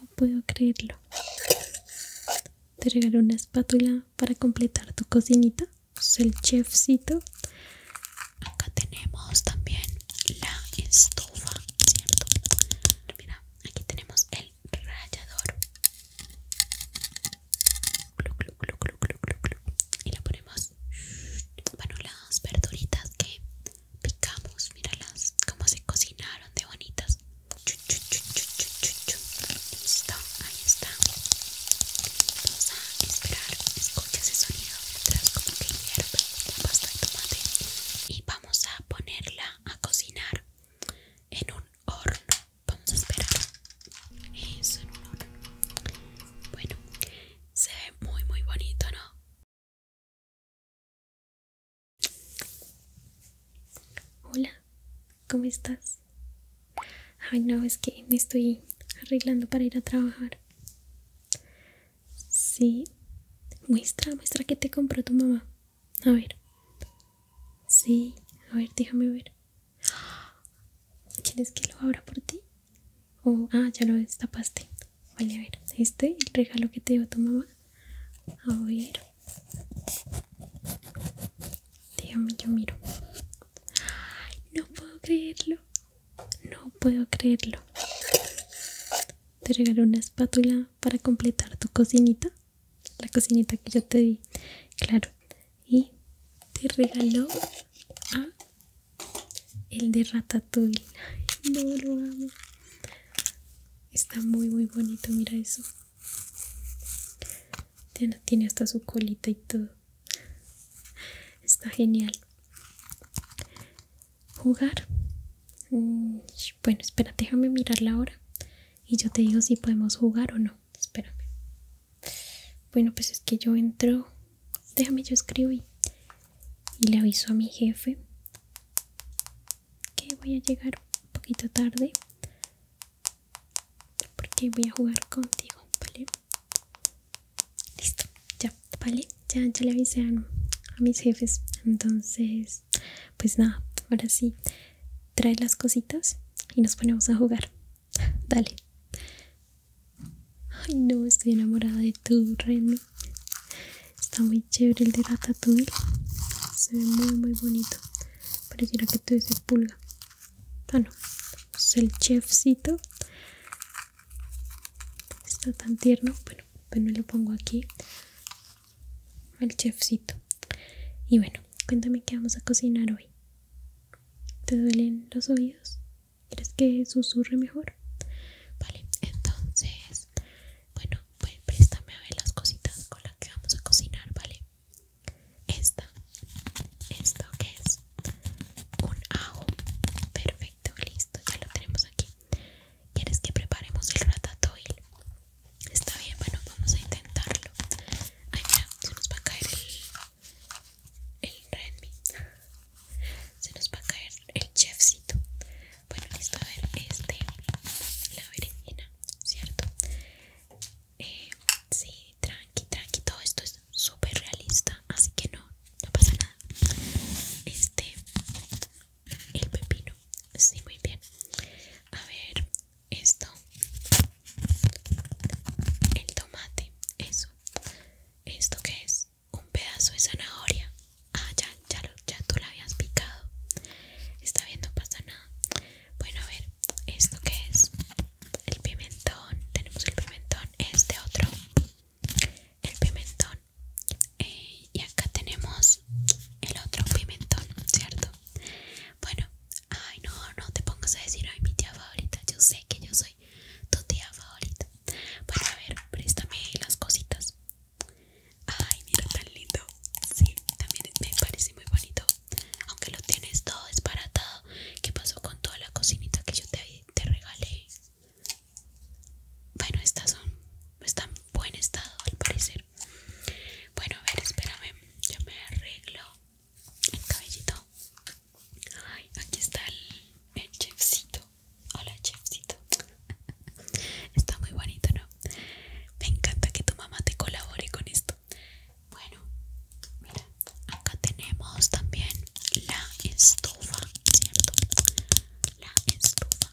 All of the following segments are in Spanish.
No puedo creerlo. Te regalé una espátula para completar tu cocinita. Es pues, el chefcito. Acá tenemos también la estufa, ¿cierto? Mira, aquí tenemos el rallador. Y le ponemos, bueno, las verduritas que picamos, míralas como se cocinaron de bonitas. Listo, ahí está. Vamos a esperar, escucha ese sonido mientras como que hierve la pasta de tomate y vamos a ponerla a cocinar en un horno. Vamos a esperar. Eso en un horno. Bueno, se ve muy muy bonito, ¿no? Hola, ¿cómo estás? Ay, no, es que me estoy arreglando para ir a trabajar. Sí, muestra, muestra que te compró tu mamá. A ver. Sí, a ver, déjame ver. ¿Quieres que lo abra por ti? Oh, ah, ya lo destapaste. Vale, a ver, este, el regalo que te dio tu mamá. A ver. Dígame, yo miro. No puedo creerlo. No puedo creerlo. Te regaló una espátula para completar tu cocinita. La cocinita que yo te di. Claro. Y te regaló el de Ratatouille. No lo amo. Está muy muy bonito, mira eso. Tiene hasta su colita y todo. Está genial. Jugar. Mm, bueno, espera, déjame mirar la hora. Y yo te digo si podemos jugar o no. Espérame. Bueno, pues es que yo entro. Déjame, yo escribo y, y le aviso a mi jefe que voy a llegar un poquito tarde porque voy a jugar contigo, ¿vale? Listo, ya, ¿vale? Ya, ya le avisé a, mis jefes. Entonces, pues nada, ahora sí, trae las cositas y nos ponemos a jugar. Dale. Ay, no, estoy enamorada de tu Remy. Está muy chévere el de Ratatouille. Se ve muy, muy bonito. Pareciera que tú dices pulga. Ah, no. Es pues el chefcito. Está tan tierno. Bueno, no pues le pongo aquí. El chefcito. Y bueno, cuéntame qué vamos a cocinar hoy. ¿Te duelen los oídos? ¿Quieres que susurre mejor? Vale, entonces, bueno, pues préstame a ver las cositas con las que vamos a cocinar, ¿vale? Esta, esto que es un ajo. Perfecto, listo, ya lo tenemos aquí. ¿Quieres que preparemos el ratatouille? Está bien, bueno, vamos a intentarlo. Ay, mira, se nos va a caer el, el Redmi. Se nos va a caer el chefcito. Bueno, listo, a ver, este, la berenjena, ¿cierto? Eh, sí, tranqui, tranqui, todo esto es súper realista, así que no, no pasa nada. Este, el pepino, sí, muy bien. A ver, esto, el tomate, eso. ¿Esto que es? Un pedazo de zanahoria, Ah, ya, ya, ya tú la habías picado. Está bien, no pasa nada. Bueno, a ver, ¿esto qué es? El pimentón. Tenemos el pimentón. Este otro. El pimentón. Eh, y acá tenemos el otro pimentón, ¿cierto? Bueno, ay, no, no te pongas a decir, ay, mi tía favorita. Yo sé que yo soy tu tía favorita. Bueno, a ver, préstame las cositas. Ay, mira tan lindo. Sí, también me parece muy bonito. Aunque lo tienes todo desbaratado. ¿Qué pasó con toda la cocinita que yo te, regalé? Bueno, estas son están en buen estado al parecer. Bueno, a ver, espérame. Yo me arreglo el cabellito. Ay, aquí está el chefcito. Hola, chefcito. Está muy bonito, ¿no? Me encanta que tu mamá te colabore con esto. Bueno, mira, acá tenemos también la estufa, ¿cierto? La estufa.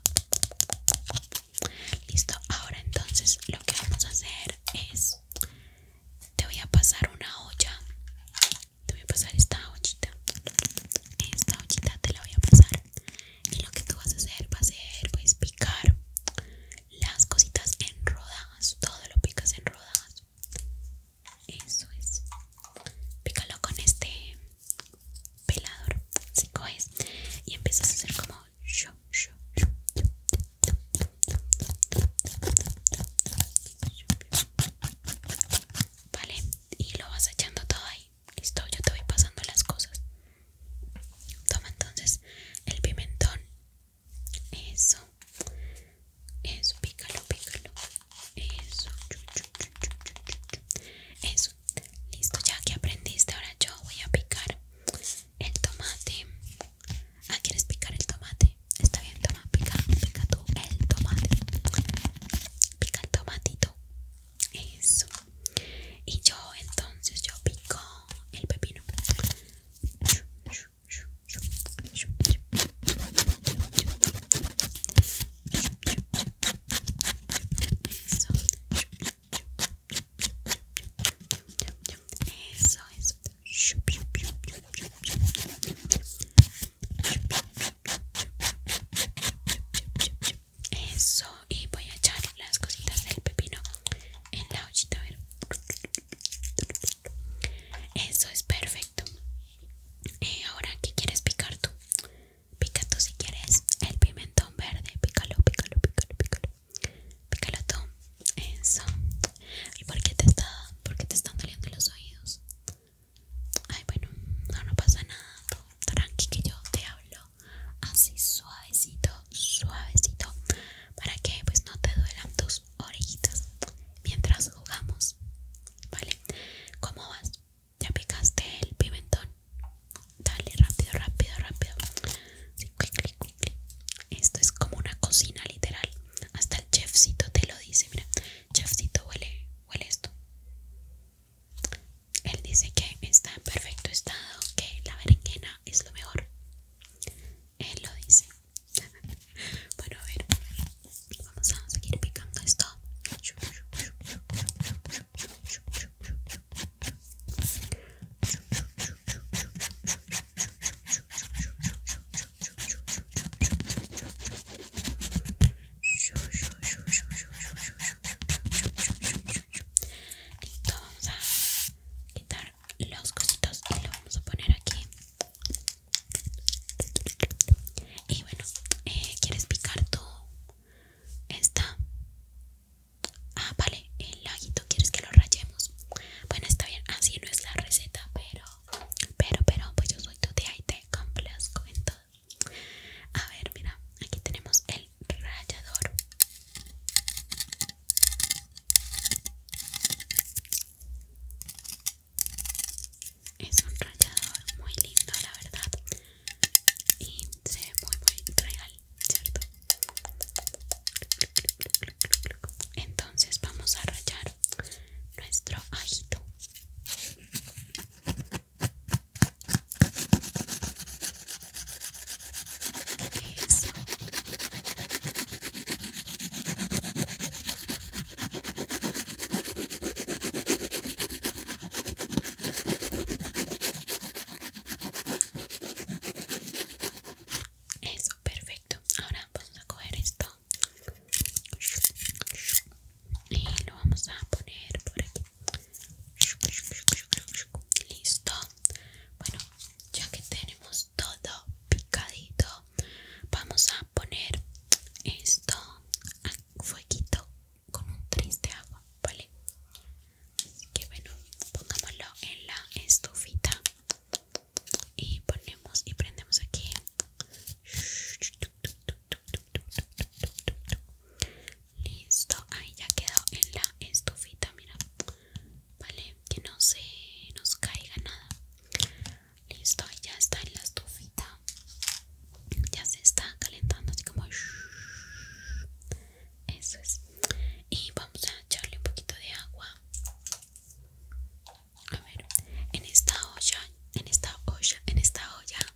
Listo, ahora entonces lo que vamos a hacer es te voy a pasar una olla. Te voy a pasar esta ollita. Esta ollita te la voy a pasar y lo que tú vas a hacer va a ser pues picar las cositas en rodajas todo lo picas en rodajas eso es pícalo con este pelador y empiezas a hacer como Vale, y lo vas echando todo ahí. Listo, yo te voy pasando las cosas. Toma entonces el pimentón. Eso. Eso, pícalo, pícalo. Eso. Eso. Listo, ya que aprendiste, ahora yo voy a picar el tomate. Ah, ¿quieres picar el tomate? Está bien, toma, pica, pica tú el tomate. Pica el tomatito. Eso. Y yo entonces yo pico el pepino. Eso. Eso, eso. Eso, y voy a echar las cositas del pepino en la hojita, a ver. Eso es perfecto. Eh, ahora, ¿qué quieres picar tú? Pica tú si quieres el pimentón verde. Pícalo, pícalo, pícalo, pícalo. Pícalo tú. Eso. ¿Y por qué te, está, te están doliendo los oídos? Ay, bueno, no, pasa nada. tranqui, que yo te hablo así suavecito, suavecito, para que pues no te duelan tus orejitas mientras jugamos, ¿vale? ¿Cómo vas? ¿Ya picaste el pimentón? Dale, rápido, rápido, rápido. Esto es como una cocina literal. Hasta el chefcito te lo dice, mira. Chefcito huele, huele esto. Él dice que está en perfecto estado, que la berenjena es lo mejor. Él lo dice. bueno, a ver, vamos a seguir picando esto. Listo, vamos a quitar los cositos y lo vamos a poner aquí. Y bueno, eh, ¿quieres picar tú esta? Ah, vale, el laguito, ¿quieres que lo rayemos? Bueno, está bien, así no es la receta, pero, pero, pero, pues yo soy tu tía y te complazco en todo. A ver, mira, aquí tenemos el rallador. Es un rallador muy lindo, la verdad. Y se ve muy, muy real, ¿cierto? Entonces vamos a rayar nuestro ajito. Eso. perfecto. Ahora vamos a coger esto y lo vamos a poner por aquí listo bueno ya que tenemos todo picadito vamos a poner esto a fueguito con un triste de agua vale que bueno pongámoslo en la estufita y ponemos y prendemos aquí Listo, ahí ya quedó en la estufita, mira. Vale, que no se nos caiga nada. Listo, ya está en la estufita. Ya se está calentando así como... Eso es. Y vamos a echarle un poquito de agua. A ver, en esta olla, en esta olla, en esta olla yo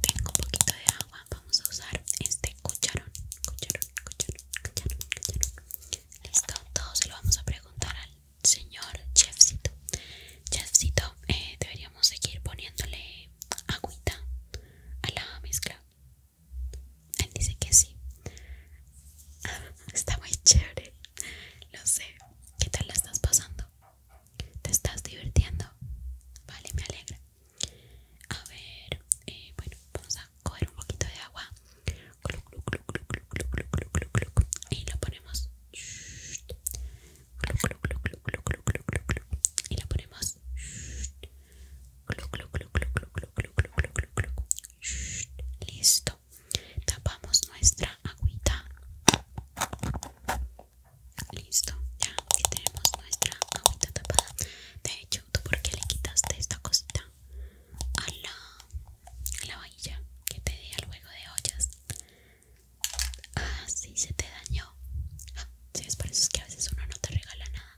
tengo un poquito de agua vamos a usar este cucharón cucharón cucharón cucharón listo todo se lo vamos a preguntar al señor chefcito chefcito eh, deberíamos seguir poniéndole agüita a la mezcla él dice que sí Está muy chévere Lo sé ¿Qué tal la estás pasando? ¿Te estás divirtiendo? Vale, me alegra. A ver, bueno, vamos a coger un poquito de agua y lo ponemos y lo ponemos listo tapamos nuestra agüita Listo, ya tenemos nuestra agüita tapada. De hecho, ¿tú por qué le quitaste esta cosita a la, que te di al juego de ollas? Ah, sí, se te dañó. Ah, sí, es por eso es que a veces uno no te regala nada.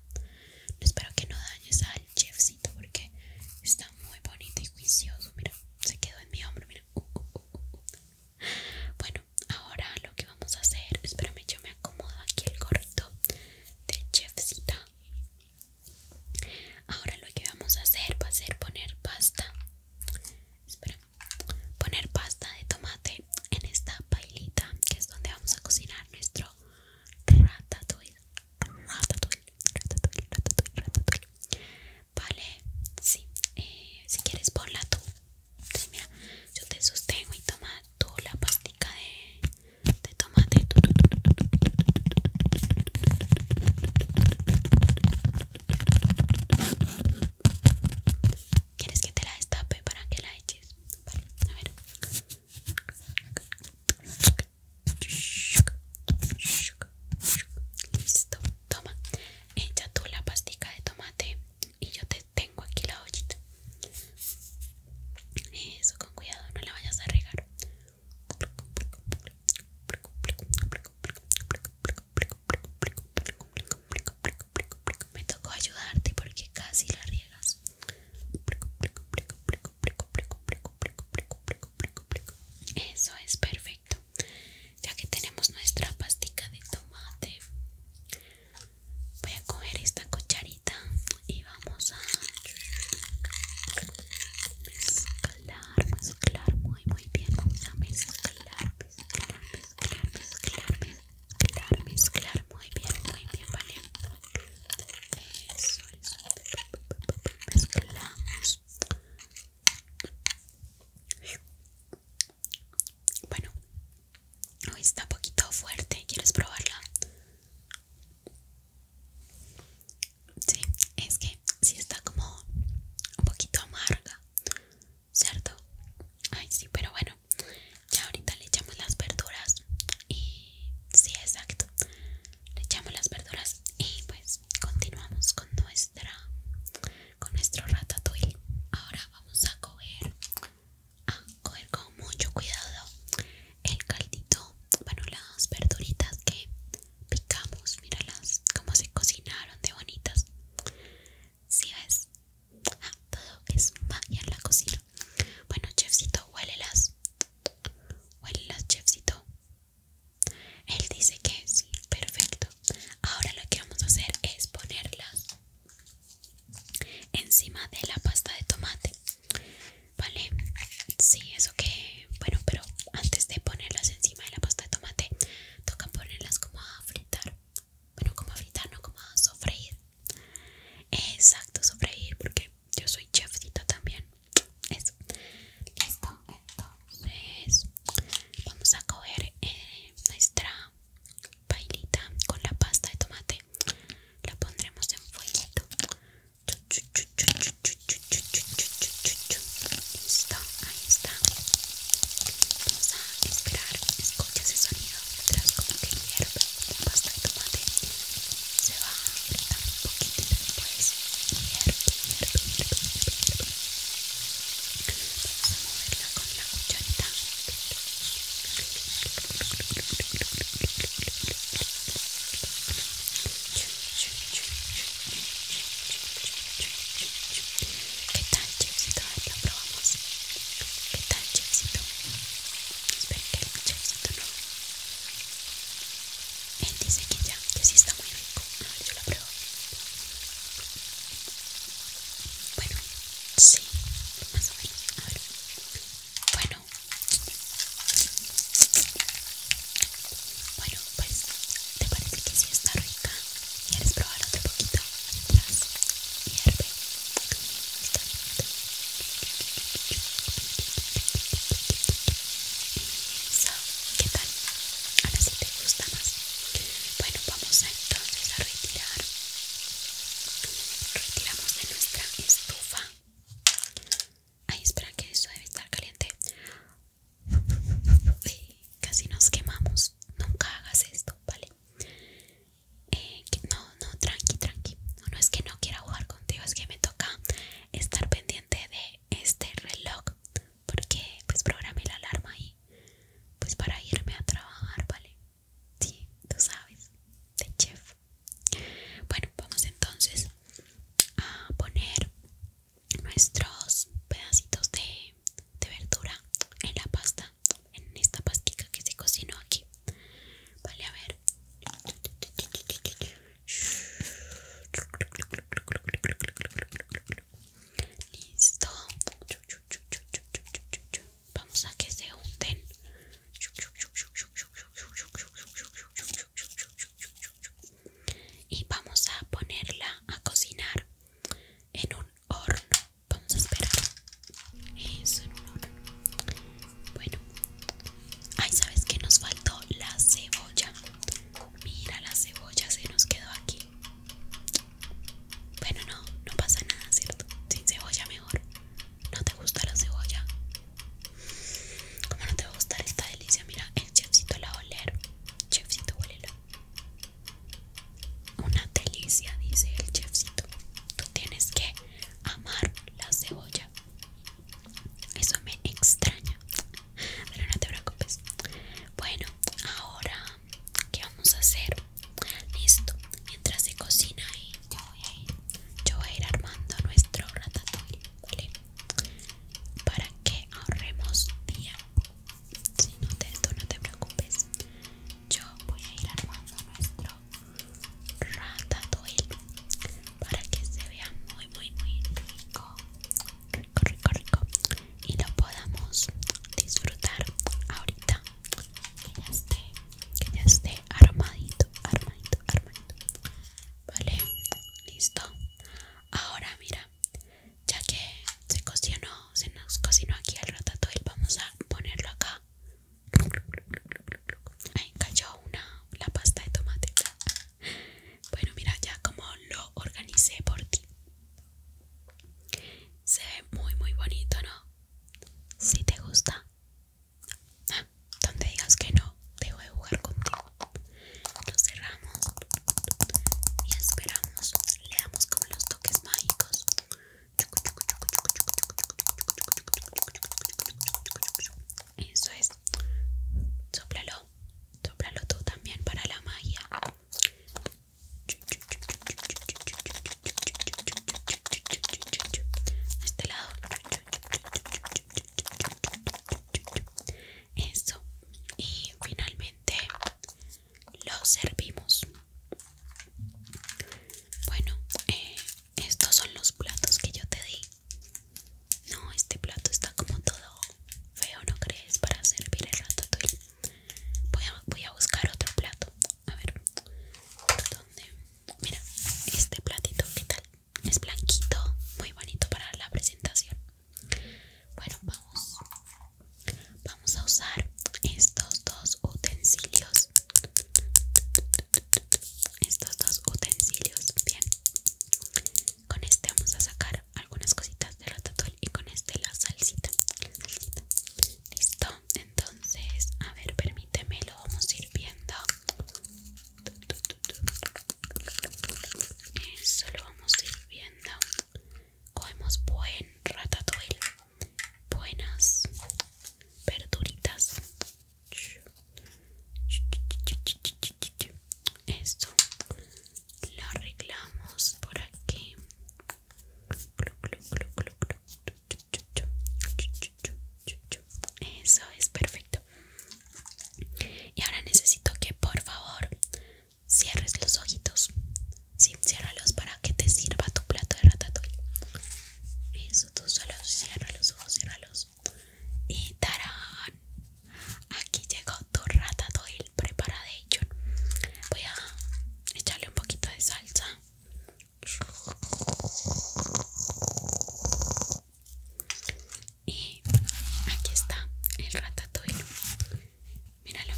Espero que no dañes al chefcito porque está muy bonito y juicioso. Mira, se quedó en mi hombro. Mira. Uh, uh, uh, bueno, ahora lo que vamos a hacer espérame yo me acomodo aquí el gorrito de chefcita ahora lo que vamos a hacer va a ser poner pasta espera poner pasta de tomate en esta pailita que es donde vamos a cocinar nuestro ratatouille ratatouille ratatouille ratatouille ratatouille vale sí eh, si quieres ponla tú Mira, yo te sostengo y toma tú la pastica de, de tomate. ¿Quieres que te la destape para que la eches? Vale, a ver. Listo, toma. Echa tú la pastica de tomate y yo te tengo aquí la ollita. Eso, con cuidado, no la vayas a regar. Me tocó ayudarte porque casi la riegas. Eso es perfecto ya que tenemos nuestra pastica de tomate voy a coger esta cucharita y vamos a mezclar mezclar muy muy bien vamos a mezclar mezclar mezclar mezclar mezclar mezclar muy bien muy bien vale eso, eso. mezclamos bueno, hoy está un poquito fuerte. ¿Quieres probarla? Sí, es que sí está como un poquito amarga, ¿cierto? Ay, sí, pero bueno, ya ahorita le echamos las verduras y sí, exacto. Le echamos las verduras y pues continuamos con nuestra con nuestro ratatouille. Ahora vamos a coger, a coger con mucho cuidado el caldito, bueno, las verduritas que picamos. Míralas como se cocinaron de bonitas. Si ves, ah, todo es magia la cocina. Bueno, chefcito, huélelas. Huélelas, chefcito. Él dice que sí, perfecto ahora lo que vamos a hacer es ponerlas encima de la pasta de tomate vale sí eso que bueno pero antes de ponerlas encima de la pasta de tomate toca ponerlas como a fritar bueno como a fritar no como a sofreír exacto sofreír porque yo soy chefcito también eso listo es. vamos a coger eh, nuestra pailita con la pasta de tomate la pondremos en fueguito listo, ahí está vamos a esperar escucha ese sonido mientras como que hierve la pasta de tomate se va a apretando un poquito y después hierve, hierve, hierve, vamos a moverla con la ¿Qué tal, la probamos ¿Qué tal, Esperen que no Él dice que ya, que sí está muy rico yo la pruebo bueno, sí, más o menos. Bueno. Bueno, pues, ¿te parece que sí está rica? ¿Quieres probar otro poquito? ¿qué tal? Ahora sí te gusta más. Bueno, vamos a, entonces a retirar. Retiramos de nuestra estufa. Ay, espera que eso debe estar caliente. casi nos quemamos. Nunca hagas esto, ¿vale? Eh, no, no, tranqui, tranqui. No, no es que no quiera jugar contigo, es que me toca estar pendiente de este reloj porque pues programé la alarma ahí pues para irme a trabajar, ¿vale? Sí, tú sabes, de chef. Bueno, vamos entonces a poner nuestros pedacitos de, de verdura en la pasta, en esta pastica que se cocinó aquí. Vale, a ver. Listo. Vamos a que se unten. Y vamos a ponerla a cocinar en un horno. Vamos a esperar. Eso en un horno. Bueno. Ay, ¿sabes que nos faltó? La cebolla. Mira, la cebolla se nos quedó aquí. Bueno, no, no pasa nada, ¿cierto? Sin cebolla mejor. ¿No te gusta la cebolla? ¿Cómo no te va a gustar esta delicia? Mira, el chefcito la va a Chefcito, huélela Una delicia, dice el chefcito. Tú tienes que amar la cebolla. Eso me extraña. Pero no te preocupes. Bueno, ahora ¿Qué vamos a hacer? Listo, mientras se cocina ahí, yo voy a ir, yo voy a ir armando nuestro ratatouille, Para que ahorremos tiempo. Si no te, no te preocupes. Yo voy a ir armando nuestro ratatouille para que se vea muy, muy, muy rico. Rico, rico, rico y lo podamos disfrutar ahorita que ya esté, armadito, armadito, armadito. Vale, listo. Ahora mira, ya que se cocinó, se nos cocinó aquí el ratatouille, vamos a ponerlo acá. Ahí cayó una la pasta de tomate. Bueno, mira, ya como lo organicé por ti. Se ve muy muy bonito, ¿no? Si te gusta. Ah, donde digas que no, dejo de jugar contigo. Lo cerramos y esperamos. Le damos como los toques mágicos. Eso es. Sóplalo. Sóplalo tú también para la magia a este lado eso y finalmente lo servimos bueno eh, estos son los platos que yo te di no este plato está como todo feo no crees para servir el ratatouille voy a, voy a buscar otro plato a ver dónde mira este platito qué tal es blanquito muy bonito para la presentación bueno vamos vamos a usar estos dos utensilios estos dos utensilios bien con este vamos a sacar algunas cositas de ratatouille y con este la salsita, listo entonces a ver permíteme lo vamos a ir viendo eso lo vamos a ir viendo comemos buen ratatouille buenas verduritas esto lo arreglamos por aquí eso es perfecto. Y ahora necesito que por favor cierres los ojitos. Sí, ciérralos para que te sirva tu plato de ratatouille. Eso, tú solo cierra los ojos, ciérralos. Y tarán, aquí llegó tu ratatouille prepara de hecho. voy a echarle un poquito de salsa y aquí está el ratatouille míralo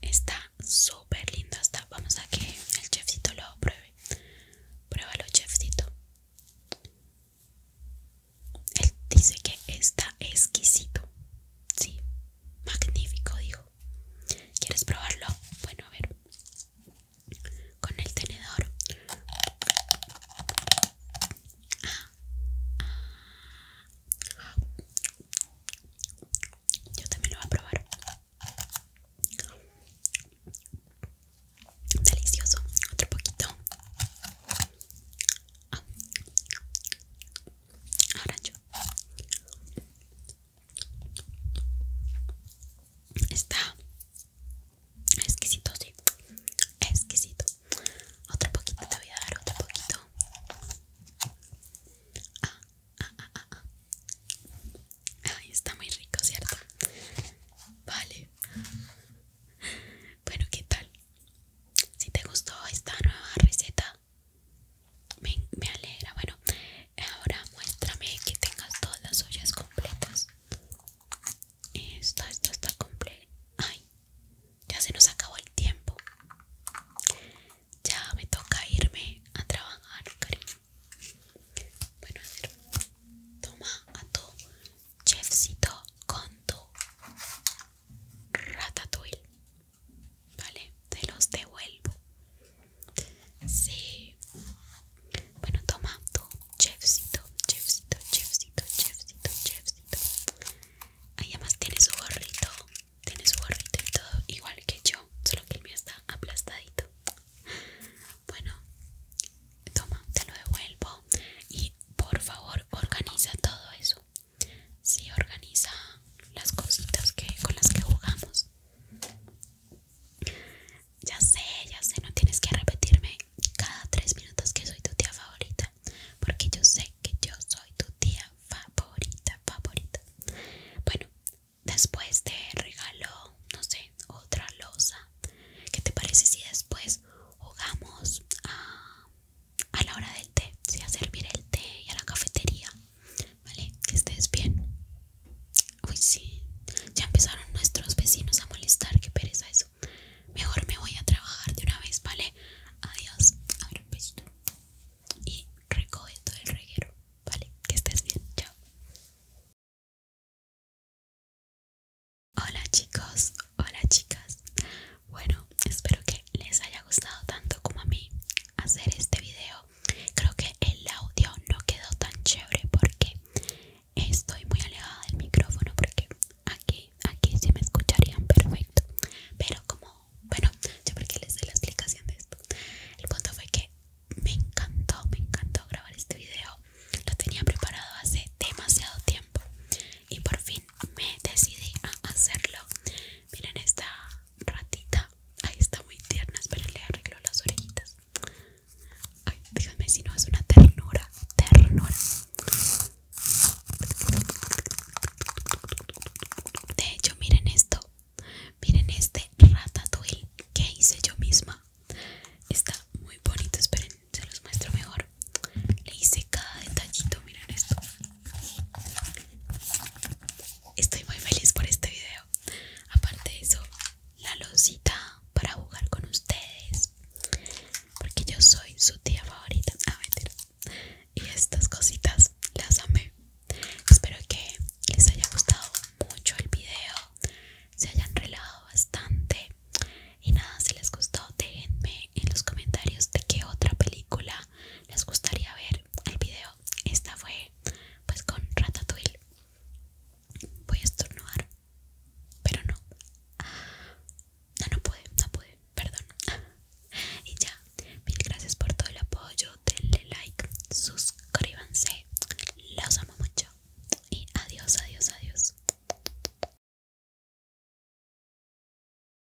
está súper lindo está vamos a que el chefcito lo pruebe pruébalo chefcito él dice que está exquisito sí Magnífico, dijo. ¿Quieres probarlo? Bueno, a ver. Con el tenedor. Ah, ah. Yo también lo voy a probar. Delicioso. Otro poquito. Ahora yo. Está exquisito, sí. Exquisito. Otro poquito, te voy a dar otro poquito. Ah ah, ah, ah, ah, Ay, está muy rico, ¿cierto? Vale. Bueno, ¿qué tal? Si te gustó esta nueva receta, me, alegra. Bueno, ahora muéstrame que tengas todas las ollas completas. esto esto está completa. Ay, ya se nos acabó el tiempo. Ya me toca irme a trabajar, cariño. Bueno, a ver, toma a tu chefcito con tu ratatouille. Vale, te los devuelvo. Sí. Bueno, toma tu chefcito, chefcito, chefcito, chefcito, chefcito. Ahí además tiene su gorrito. Tiene su gorrito y todo, igual que yo. Solo que el mío está aplastadito. Bueno, toma, te lo devuelvo. Y por favor, organiza todo eso si organiza las cositas que, con las que jugamos. Ya sé, ya sé, no tienes que repetirme cada tres minutos que soy tu tía favorita, porque yo sé que yo soy tu tía favorita, favorita. Bueno, después te regalo, no sé, otra losa. ¿Qué te parece si después jugamos a a la hora del té, sí, a servir el té y a la cafetería, ¿vale? Que estés bien. Uy, sí, ya empezaron nuestros vecinos a molestar, qué pereza eso. Mejor me voy a trabajar de una vez, ¿vale? Adiós, a un besito. Y recoge todo el reguero, ¿vale? Que estés bien, chao. Hola chicos, hola chicas. Bueno, espero que les haya gustado tanto como a mí hacer este video. Creo que el audio no quedó tan chévere porque estoy muy alejada del micrófono porque aquí, aquí sí me escucharían perfecto. Pero como, bueno, yo porque les doy la explicación de esto. El punto fue que me encantó, me encantó grabar este video. Lo tenía preparado hace demasiado tiempo y por fin me decidí a hacerlo. Miren esta ratita. Ahí está muy tierna. Esperen, le arreglo las orejitas. Ay, díganme si no es una ternura. Ternura. De hecho, miren esto. Miren este ratatouille que hice yo misma. Está muy bonito. Esperen, se los muestro mejor. Le hice cada detallito. Miren esto. Estoy muy feliz por este video. Aparte de eso, la losita para jugar con ustedes. Porque yo soy su tía favorita. Ah, y estas cositas las amé. Espero que les haya gustado mucho el video. Se hayan relajado bastante. Y nada, si les gustó, déjenme en los comentarios de qué otra película les gustaría ver el video. Esta fue pues con Ratatouille. Voy a estornudar, pero no. No, no pude, no pude, perdón. Y ya, mil gracias por todo el apoyo. Denle like, suscríbanse. Los amo mucho. Y adiós, adiós, adiós.